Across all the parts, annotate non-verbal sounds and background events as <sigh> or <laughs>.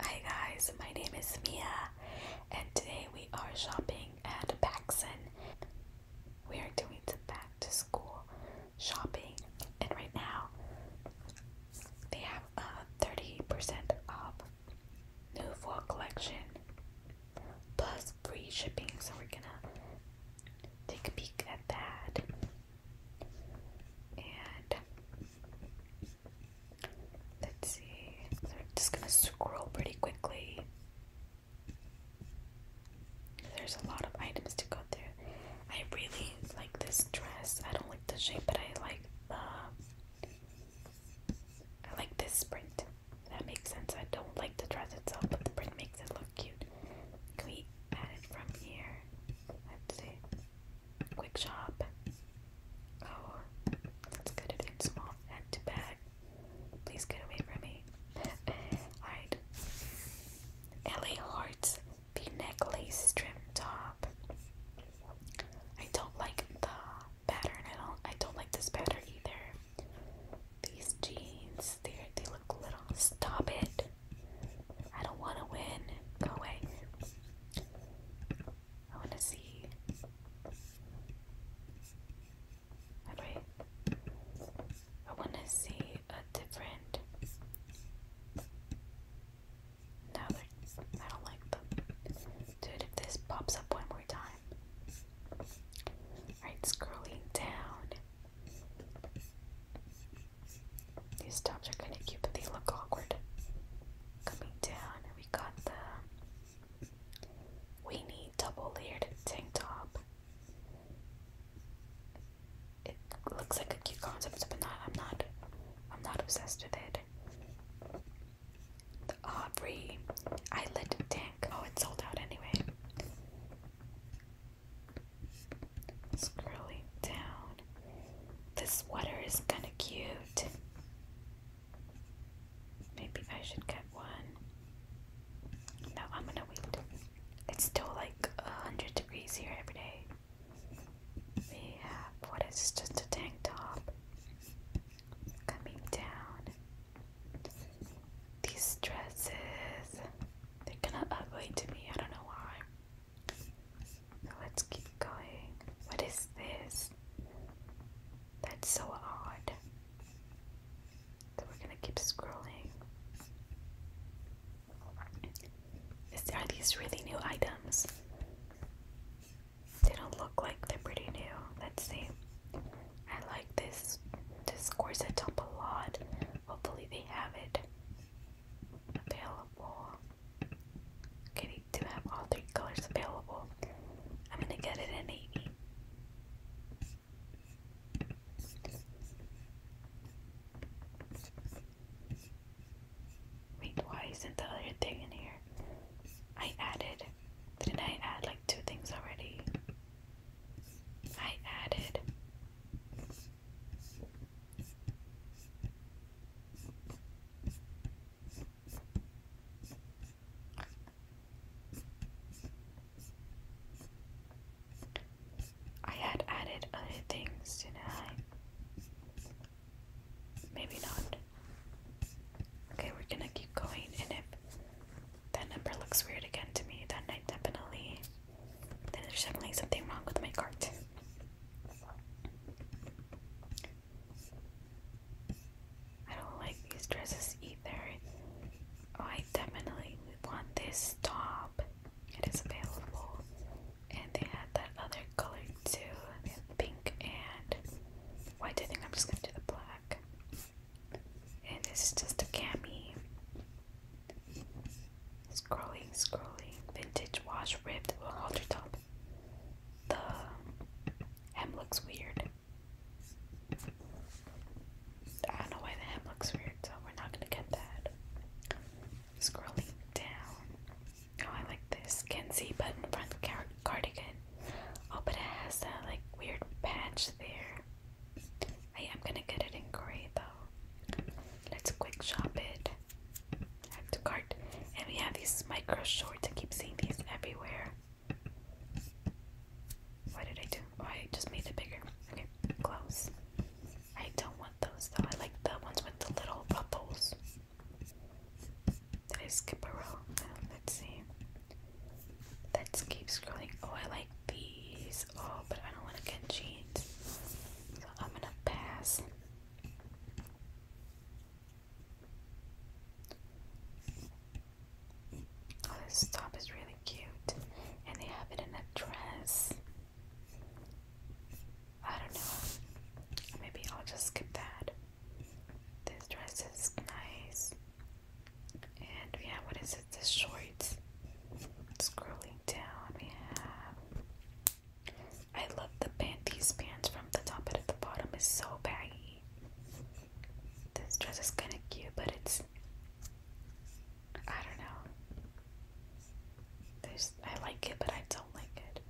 Hi guys, my name is Mia, and today we are shopping at Paxson. We are doing back to school shopping, and right now they have a 30% off new fall collection plus free shipping, so we're gonna take a peek at that. And Let's see. So I'm just gonna scroll pretty quickly. There's a lot of items to go through. I really like this dress. I don't like the shape, but I like the. I like this print. That makes sense. I don't like the dress itself, but the print makes it look cute. Can we add it from here? Let's see. Quick Shop. Oh, that's good it's small and to bag. Please get away from me. <laughs> Alright. LA Hearts V-neck lace trim top. I don't like the pattern. I do I don't like this pattern either. These jeans. They they look little. Stop it. I don't want to win. Go away. I want to see. Wait. I want to see a different. No, I don't like them. Dude, if this pops up one more time. Alright, scrolling down. These tops are kind of cute, but they look awkward coming down we got the weenie double layered tank top. It looks like a cute concept, but not I'm not I'm not obsessed with it. The Aubrey Eyelid Tank. Oh, it's sold out anyway. Scrolling down. This sweater is kinda cute. Maybe I should get one. No, I'm gonna wait. It's still like 100 degrees here every day. We have, what is just a tank top coming down. These dresses, they're kind of ugly to me, I don't know why let's keep going. What is this? That's so odd. So we're gonna keep scrolling. Is, are these really new items? They don't look like they're pretty new. Let's see. I like this this corset top a lot. Hopefully they have it available. Okay, do have all three colors available. I'm gonna get it in navy. Wait, why isn't the other thing in here? I added. did I add like two things already? I added. I had added other things, tonight. Maybe not. Okay, we're gonna keep going, and if that number looks weird again to me, then I definitely, there's definitely something wrong with my cart. I don't like these dresses either. Oh, I definitely want this top. It is available. And they had that other color too. They had pink and white. I think I'm just gonna do the black. And this is just a cami. Scrolling, scrolling. Vintage wash ribbed halter top. The Hem looks weird. I don't know why the hem looks weird, so we're not gonna get that. Scrolling down. Oh, I like this Kenzie button front cardigan. Oh, but it has that like weird patch there. I am gonna get it in gray though. Let's quick shop it add to cart. And we have these micro shorts. I keep seeing these everywhere. What did I do? Oh, I just made it bigger. Okay, close. I don't want those though. I like the ones with the little bubbles. Did I skip a row? let's see. Let's keep scrolling. Oh, I like these. Oh, but I don't want to get jeans. So I'm gonna pass. Oh, this top is really cute, and they have it in a dress. I don't know. Maybe I'll just skip that. This dress is nice. And yeah. what is it? The shorts. Scrolling down, we have I love the pant. These pants from the top and the bottom is so baggy. This dress is kind of cute, but it's I don't know. I like it, but I don't like it.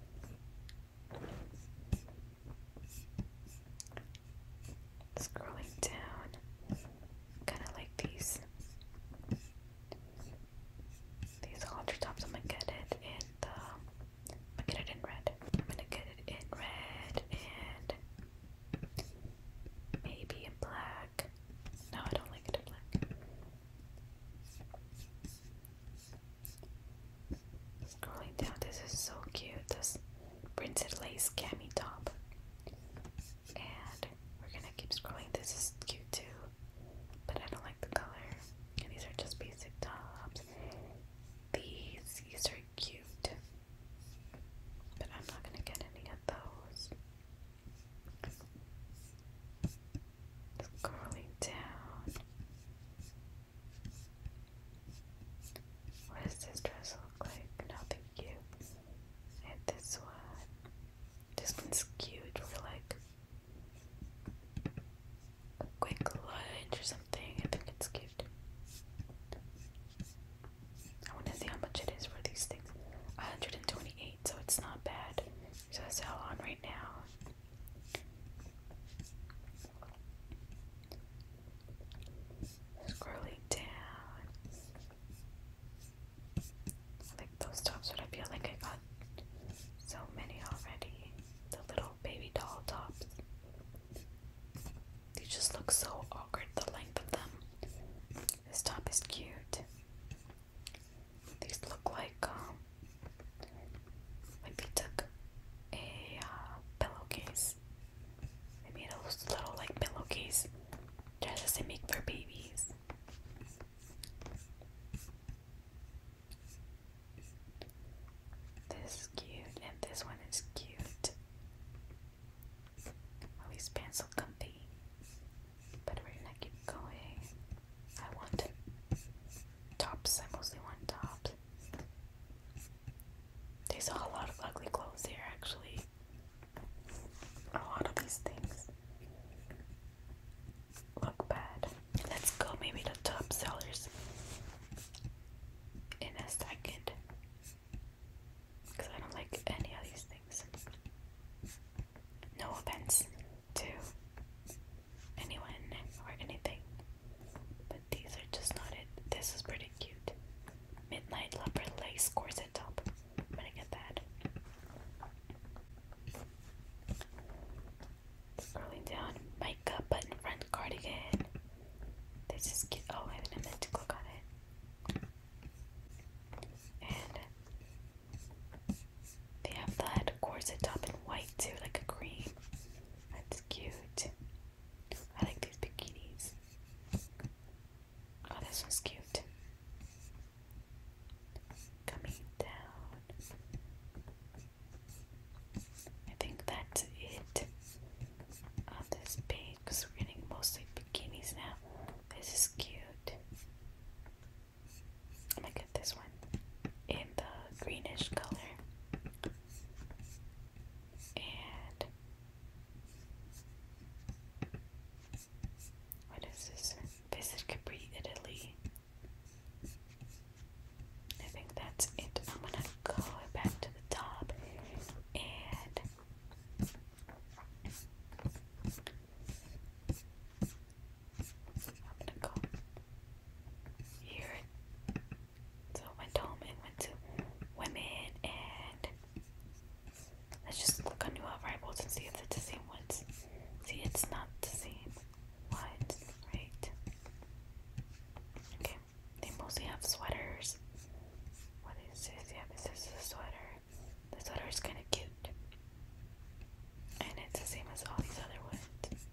Scrolling down, kind of like these. These halter tops. I'm gonna get it in the I'm gonna get it in red. I'm gonna get it in red and maybe in black. No, I don't like it in black. Scrolling down, this is so cute. This printed lace cami top. And we're gonna keep scrolling. This is cute too, but I don't like the color. And these are just basic tops these. These are cute. But I'm not going to get any of those. It's down. What does this dress look like? No, thank And this one. This one's cute for like quick lunch or something. I think it's cute. I want to see how much it is for these things. 128, so it's not bad. So that's all on right now. Scrolling down. like those tops, but I feel like I got so many already. The little Oh, baby doll tops. They just look so awkward, the length of them. This top is cute. These look like, um, like they took a uh, pillowcase. They made a little, like, pillowcase dresses they make for babies. This cute, and this one is cute. Oh, his pants look comfy. But we're gonna keep going. I want tops. I mostly want tops. There's a lot of ugly clothes here, actually. A lot of these things look bad. Let's go maybe to top sellers in a second because I don't like any of these things. No offense to anyone or anything, but these are just not it. This is pretty cute. Midnight leopard lace corset top. I'm gonna get that. Scrolling down, makeup button front cardigan. This is cute. Oh, I didn't meant to click on it. And they have that corset top in white too, like a cream. That's cute. I like these bikinis. Oh, this one's cute. Coming down. I think that's it on this page because we're getting mostly bikinis now. This is cute. I'm gonna get this one in the greenish color. And what is this? Visit Capri, Italy. I think that's it. I'm gonna go back to the top and I'm gonna go here. So I went home and went to women and let's just click on new arrivals and see if it's the same ones. See, it's not the same ones, right? Okay. They mostly have sweaters. What is this? Yeah, this is a sweater. The sweater is kind of cute. And it's the same as all these other ones.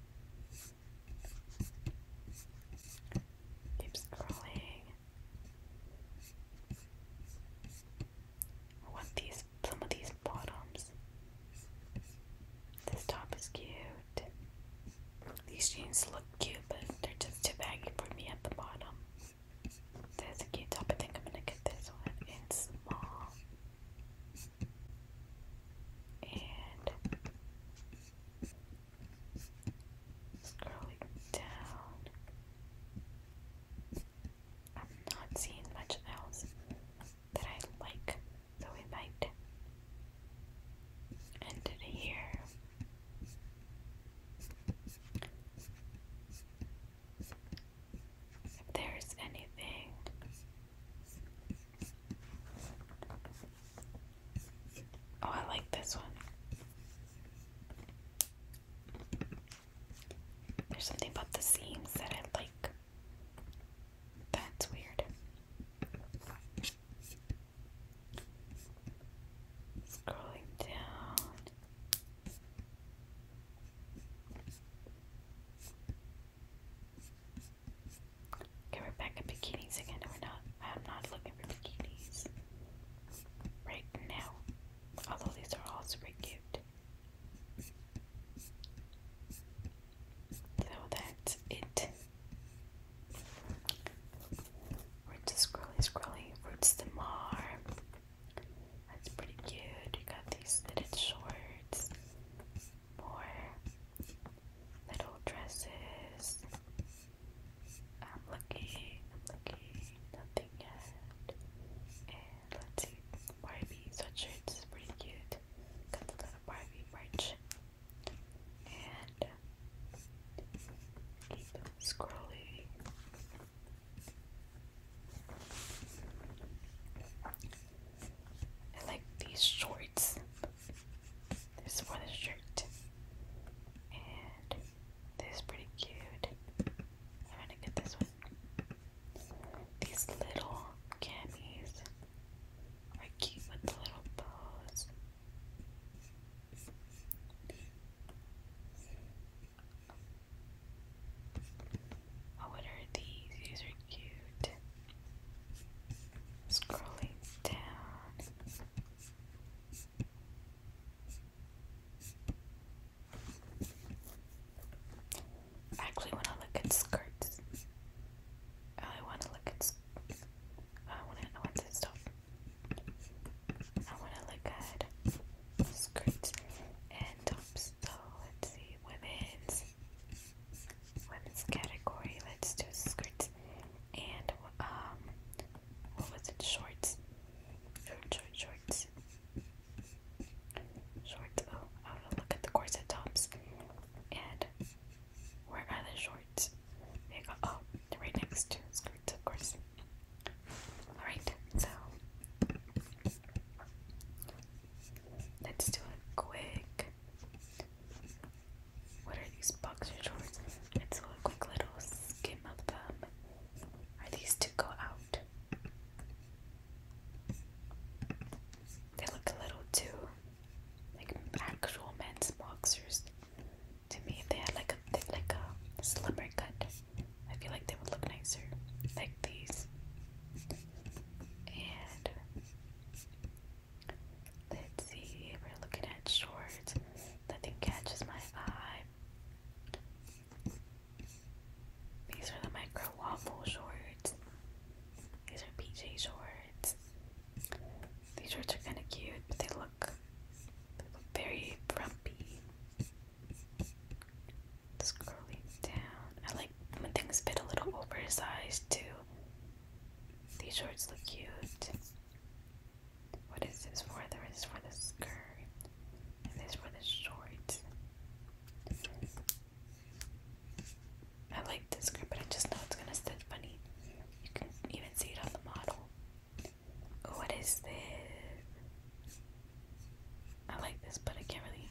Keep scrolling. I want these, some of these bottoms. This top is cute. These jeans look cute, but they're just too baggy for me at the bottom. There's a cute top. I think I'm gonna get this one in small. And scrolling down, I'm not seeing much else that I like, so we might ended here. If there's anything Oh, I like this one. There's something about the seams that I like. That's weird. Scrolling down. Okay, we're back at bikinis again. We're not. I'm not looking for bikinis right now. Although these are all super cute. So that's it. Roots is scrolly scrolly. Roots the mar. That's pretty cute. You got these knitted shorts. More little dresses. I'm looking, I'm lucky. Nothing yet. And let's see. Barbie sweatshirts is pretty cute. Got the little Barbie merch and keep scrolling. I like these shorts. This for the shirt. And this is pretty cute. I'm gonna get this one. These little camis are cute with the little bows. Oh, what are these? These are cute. Scrolling down. actually want to look at skirts. I want to look at. I want to. I want to stop. I want to look at skirts and tops. So let's see, women's women's category. Let's do skirts and um, what was it? Shorts. Short, shorts. Shorts. Oh, I want to look at the corset tops and where are the shorts? Oh, right next to skirts, of course. Alright, so let's do a quick. What are these boxer shorts? Let's do a quick little skim of them. Are these to go out? They look a little too like actual men's boxers. To me, they had like a thick, like a slimmer cut. I feel like they would look nicer, like these. And let's see, we're looking at shorts. Nothing catches my eye. These are the micro waffle shorts. These are PJ shorts. These shorts are kind of cute, but they look very frumpy. Scrolling down. I like when things fit a little oversized too. These shorts look cute. What is this for? There is for the skirt. And this for the shorts. I like this skirt, but I just know it's gonna sit funny. You can even see it on the model. What is this? I like this, but I can't really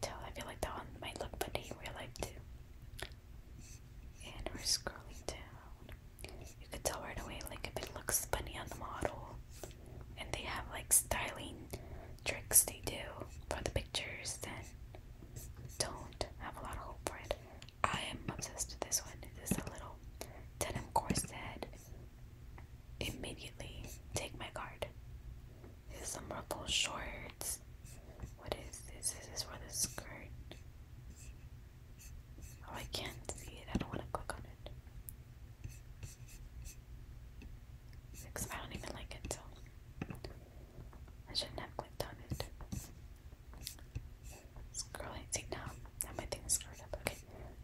tell. I feel like that one might look funny in real life too. And we're scrolling down. You could tell right away, like if it looks funny on the model. And they have like styling tricks they do for the pictures. Then don't have a lot of hope for it. I am obsessed with this one. This is a little denim corset. Immediately take my card. some ruffled shorts. What is this? Is for the skirt? Oh, I can't see it. I don't want to click on it. Because I don't even like it, so I shouldn't have clicked on it. Scrolling, see now, now my thing up. Okay,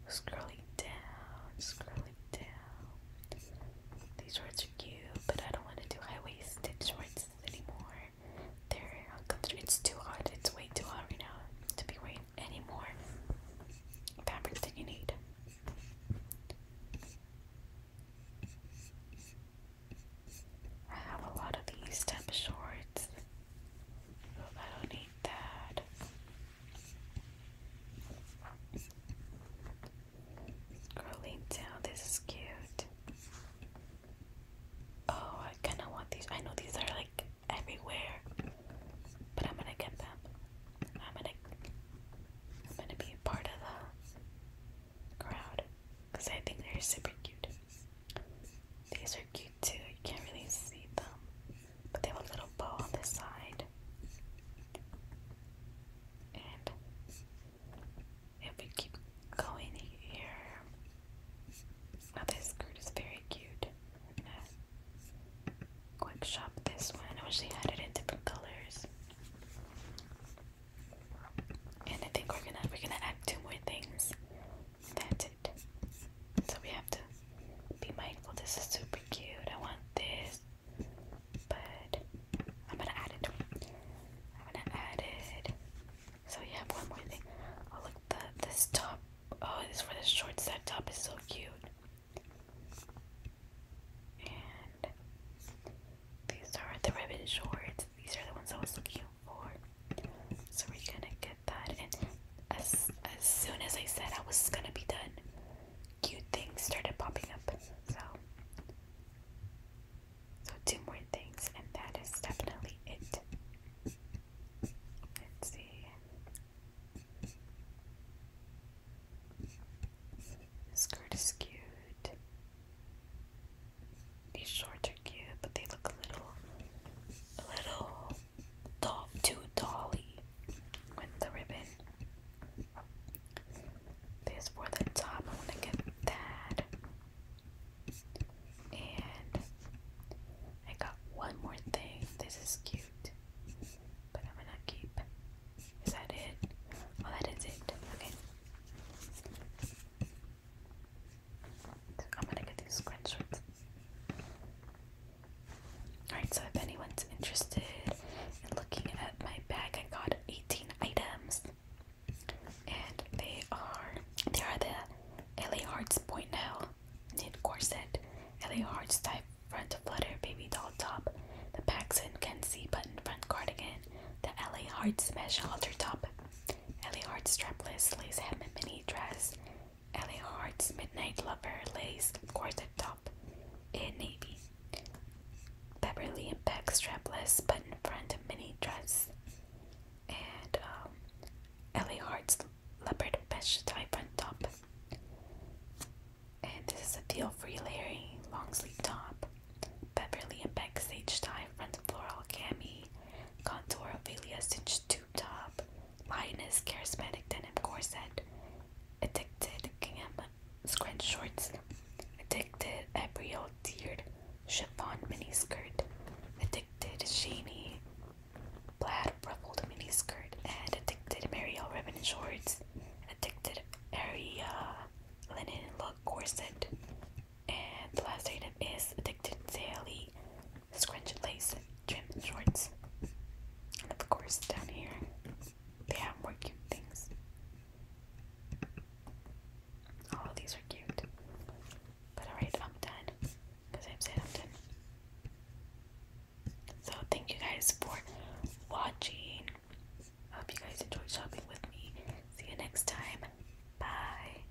scrolling down, scrolling down. These shorts are cute, but I don't want to do high-waisted shorts anymore. They're uncomfortable. Uh, it's too hot. It's way too hot right now to be wearing anymore. fabric than you need. I have a lot of these type shorts. I don't need that. Curly down, this is cute. Oh, I kind of want these. I know these are like everywhere, but I'm gonna get them. I'm gonna, I'm gonna be part of the crowd because I think they're super cute. These are cute too, you can't really see them, but they have a little bow on the side. And if we keep going here, now oh, this skirt is very cute. I'm quick shop this one. I wish they had it in different colors. And I think we're gonna we're gonna add two more things that's it. So we have to be mindful. This is super cute. I want this. But I'm gonna add it. I'm gonna add it. So we have one more thing. Oh look the this top oh this for the shorts, that top is so cute. And these are the ribbon shorts. These are the ones so cute four. So we're gonna get that. And as as soon as I said I was gonna be done, cute things started popping up. So so two more things, and that is definitely it. Let's see. skirt is skewed. These shorts are cute, but they look a little, a little doll, too dolly with the ribbon. This for the top, I want to get that. And I got one more thing. This is cute, but am gonna keep. Is that it? Oh, that is it. Okay. I'm gonna get these screenshots. Alright, so if anyone's interested in looking at my bag, I got 18 items. And they are they are the LA Hearts Point Now knit corset, LA Hearts type front flutter baby doll top, the Paxson Kenzie button front cardigan, the LA Hearts mesh halter top, Ellie Hart's strapless lace hem mini dress. Ellie Hart's midnight lover lace corset top in navy. Beverly and Beck strapless button front mini dress. And um, Ellie Hart's leopard mesh tie front top. And this is a feel free layering long sleeve top. Beverly and Beck sage tie front floral cami contour Ophelia cinched tube top, lioness charismatic denim corset, addicted gingham scrunch shorts, addicted Abriel tiered chiffon miniskirt, addicted shiny plaid ruffled miniskirt, and addicted Mariel ribbon shorts, addicted area linen look corset, and the last item is addicted Sally scrunched lace trim shorts. And of course, down here, they have more cute things. All of these are cute. But alright, I'm done. Because I've said I'm done. So, thank you guys for watching. I hope you guys enjoyed shopping with me. See you next time. Bye.